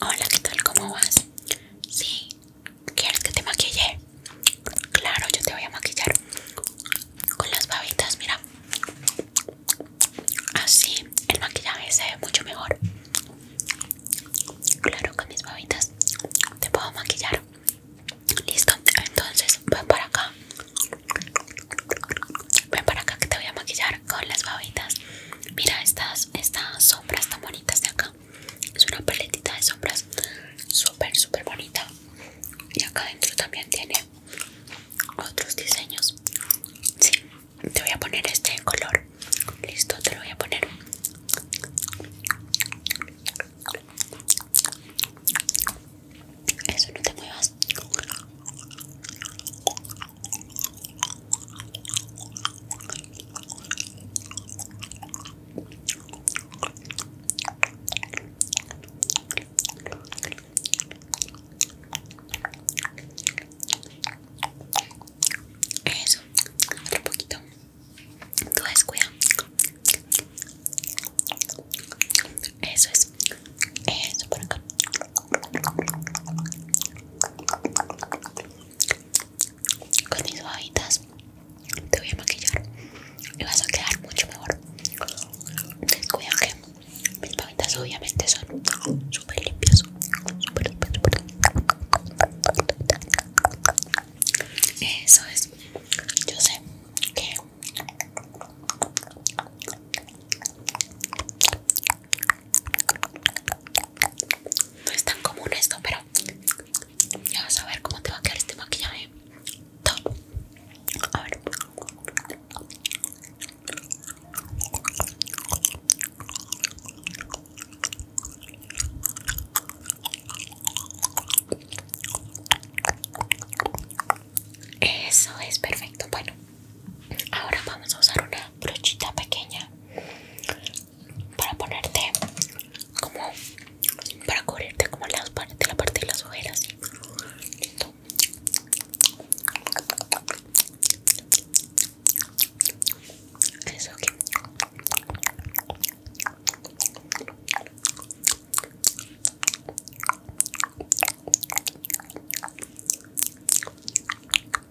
Hola, ¿qué tal? ¿Cómo vas? Sí, ¿quieres que te maquille? Claro, yo te voy a maquillar con las babitas, mira. Así el maquillaje se ve mucho mejor. Claro, con mis babitas te puedo maquillar. Listo, entonces ven para acá. Ven para acá que te voy a maquillar con las babitas. Mira estas, estas sombras tan bonitas de acá. Es una paletita de sombras súper, súper bonita. Y acá adentro también tiene otros diseños. Sí, te voy a poner este en color. Listo, te lo voy a poner. Eso no te muevas. Eso, otro poquito. Tú descuida. Eso es. Eso por acá con mis babitas te voy a maquillar y vas a quedar mucho mejor Cuidado que mis babitas obviamente son súper limpias super, eso es yo sé que no es tan común esto, pero ya vas a ver cómo te va a quedar este maquillaje. Top. A ver. Eso es perfecto. Bueno, Ahora vamos a usar una brochita pequeña para ponerte como para cubrirte como las partes, la parte de las ojeras. Listo.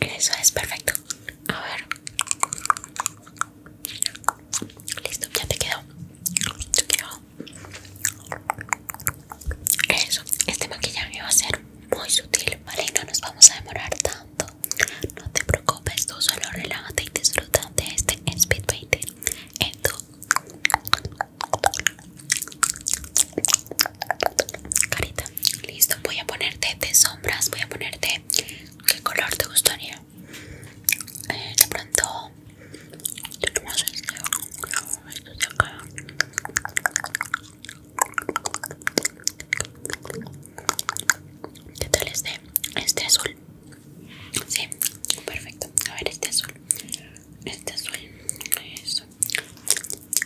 Eso es perfecto. A ver. Listo, ya te quedó. Eso. Este maquillaje va a ser muy sutil, ¿vale? no nos vamos a demorar tanto. No te preocupes, tú solo relájate y disfruta de este speed painting en tu carita. Listo, voy a ponerte de sombras, voy a ponerte qué color te gustaría. Eh, de pronto, que este, me este ¿Qué tal este? Este azul. Sí, perfecto. A ver, este azul. Este azul. Eso.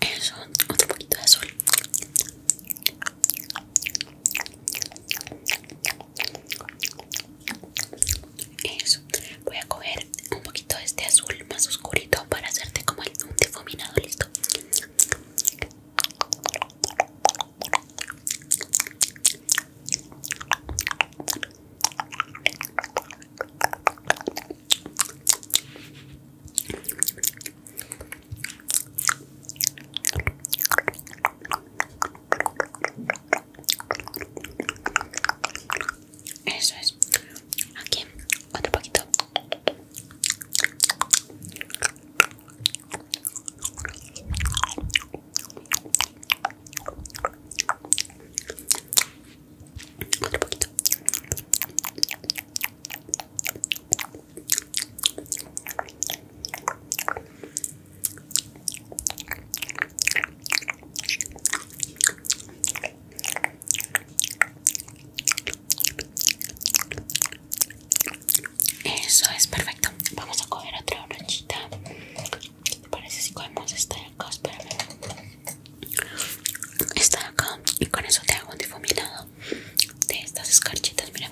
Eso, otro poquito de azul. Eso, voy a coger un poquito de este azul más oscurito para hacerte como un difuminado, listo. Eso es. Aquí, otro poquito. Eso es perfecto. Vamos a coger otra brochita ¿Qué te parece si podemos estar acá? Espérame. Esta acá. Y con eso te hago un difuminado de estas escarchitas. Mira.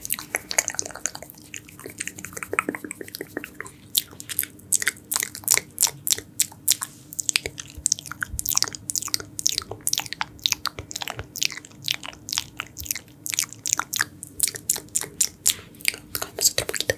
Comemos otro poquito.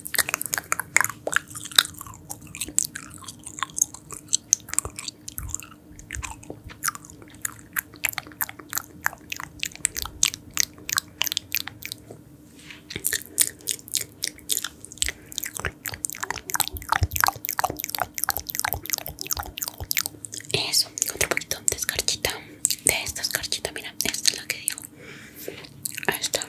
Eso, otro poquito de escarchita De esta escarchita, mira, esta es la que digo está.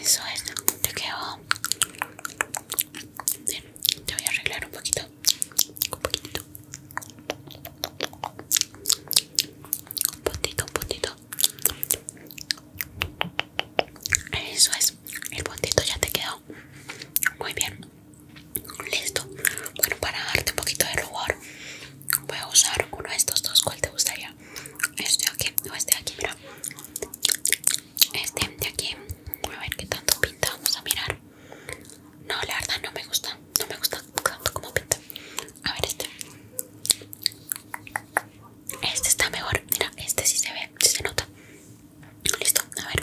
Eso es, te quedó. te voy a arreglar un poquito. Un poquito. Un puntito, un puntito. Eso es, el puntito ya te quedó. Muy bien. Listo. Bueno, para darte un poquito de rubor, voy a usar uno de estos dos. ¿Cuál te gustaría? este de aquí o este aquí mira este de aquí a ver qué tanto pinta vamos a mirar no la verdad no me gusta no me gusta tanto como pinta a ver este este está mejor mira este sí se ve sí se nota listo a ver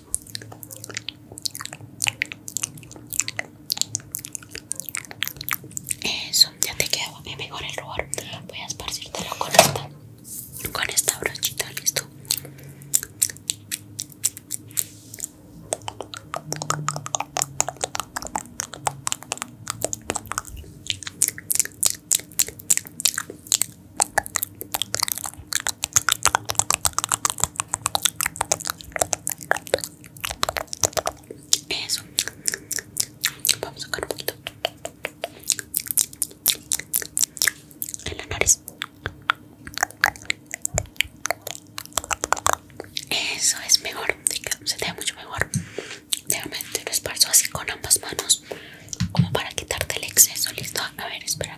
Eso, ya te quedó mejor el rubor. Voy a esparcirlo con esta, con esta brochita, listo. Eso. Vamos a sacar un poquito. En la nariz. Eso es mejor. Se te ve mucho mejor. Déjame lo esparzo así con ambas manos. Como para quitarte el exceso. Listo. A ver, espera.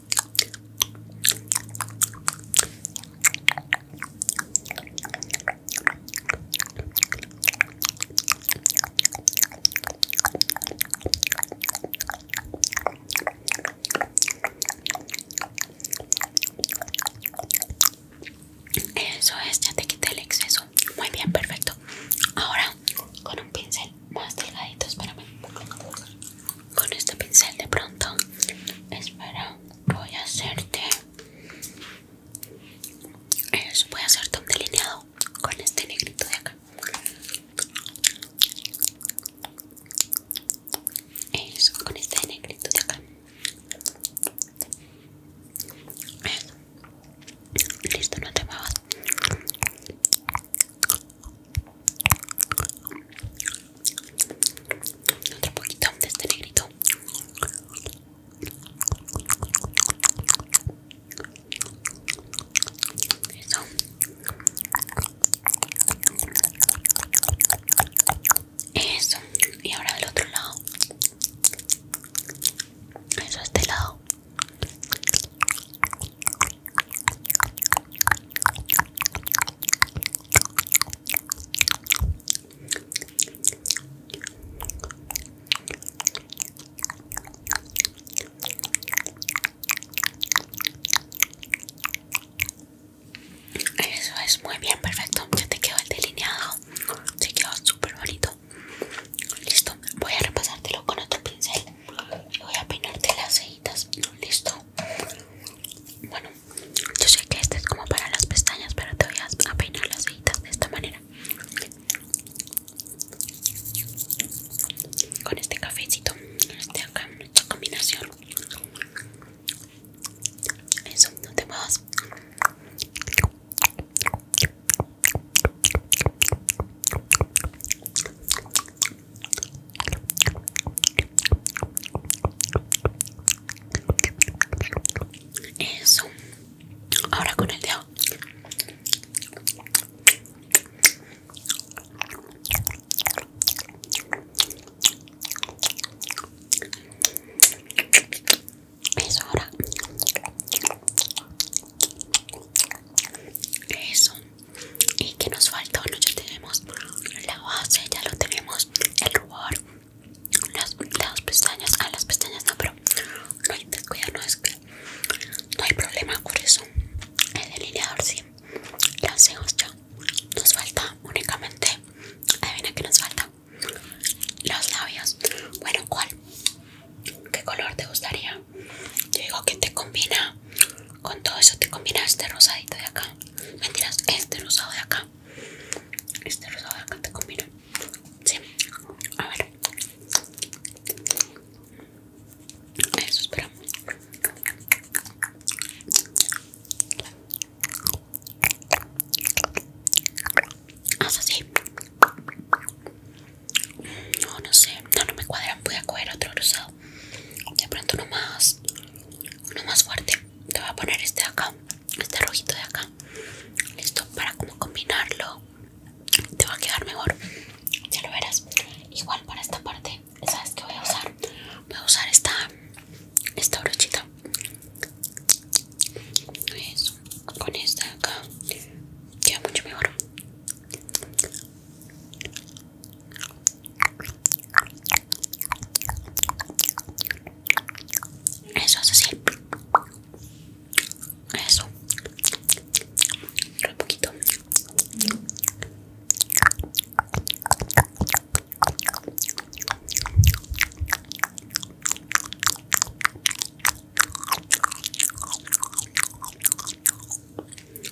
Eso es, ya te quité el exceso. Muy bien, perfecto. Ahora con un pincel más delgadito, espérame con este pincel de pronto espero voy a hacerte eso, voy a hacerte un delineado con este negrito de acá eso con este negrito de acá listo no te muevas otro poquito de este negrito. Eso. Y ahora del otro lado. Eso, este lado. Eso es muy bien, perfecto. Ya te quedó el delineado. Se quedó súper bonito. Listo, voy a repasártelo con otro pincel. Voy a peinarte las cejitas. Listo. Bueno, yo sé que este es como para las pestañas, pero te voy a peinar las cejitas de esta manera. Con este cafecito, este acá, esta combinación. Eso, no te muevas. Eso. Ahora con el dedo. Eso ahora. Eso y que nos falta, no ya tenemos la base ya lo tenemos el rubor las, pestañas ah las pestañas no pero no hay no es no hay problema por eso el delineador sí lo hacemos ya nos falta únicamente adivina que nos falta los labios bueno cuál qué color te gustaría yo digo que te combina con todo eso te combina este rosadito de acá mentiras este rosado de acá este rosado de acá te combina sí a ver eso espera haz así no no sé no no me cuadran voy a coger otro rosado de pronto nomás uno más fuerte te voy a poner este de acá este rojito de acá listo para como combinarlo te va a quedar mejor ya lo verás igual para esta parte sabes que voy a usar voy a usar esta esta brochita eso con esta de acá queda mucho mejor eso es así. Eso. Un poquito.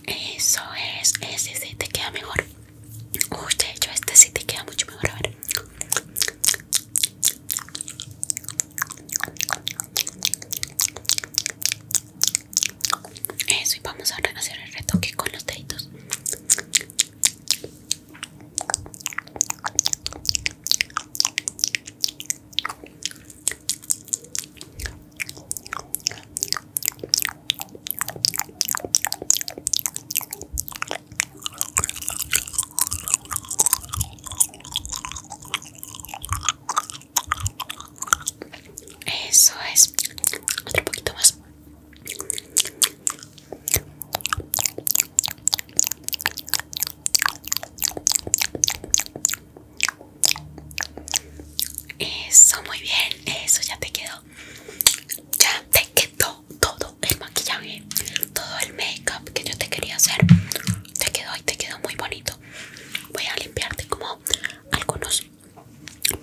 Eso es, ese sí te queda mejor. Uy, de hecho, este sí te queda mucho mejor. A ver. Eso, y vamos a hacer el retoque con los deditos. Eso es. Otro poquito más. Eso, muy bien. Eso ya te quedó ya te quedó todo el maquillaje, todo el make-up que yo te quería hacer. Te quedó y te quedó muy bonito. Voy a limpiarte como algunos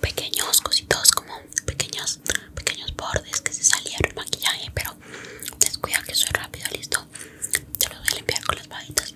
pequeños cositos, como pequeños, pequeños bordes que se salieron el maquillaje, pero descuida que soy rápido, listo. Te lo voy a limpiar con las bajitas.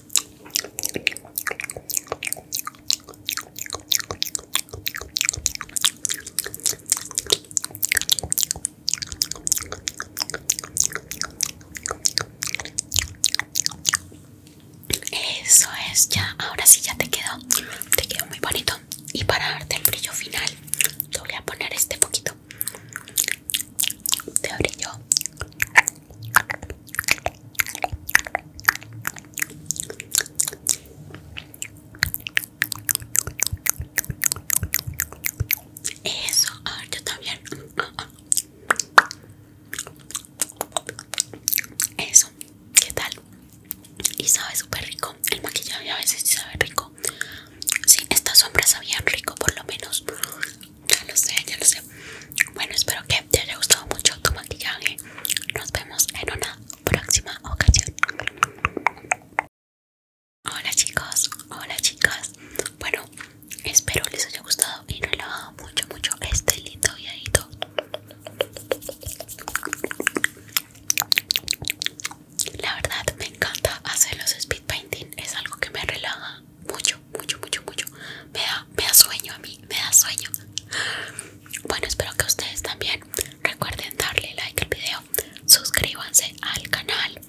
Eso es, ya, ahora sí ya te quedó, te quedó muy bonito. Y para darte el brillo final, te voy a poner este poquito de brillo eso, a ver, yo también. Eso, ¿qué tal? Y sabe súper rico. El maquillaje a veces sí sabe rico. Sí, estas sombras sabían rico, por lo menos. Ya lo sé, ya lo sé. Bueno, espero que te haya gustado mucho tu maquillaje. Nos vemos en una próxima ocasión. Hola chicos, hola chicas. Bueno, espero les haya gustado y relaja mucho, mucho este lindo videito. La verdad me encanta hacer los speed painting, es algo que me relaja mucho mucho, mucho, mucho, Me da, sueño a mí, me da sueño. Bueno, espero que ustedes también recuerden darle like al video, suscríbanse al canal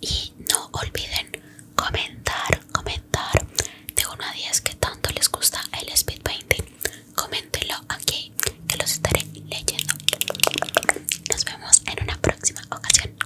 y no olviden comentar, comentar de 1 a 10 que tanto les gusta el speed painting. Coméntenlo aquí que los estaré leyendo. Nos vemos en una próxima ocasión.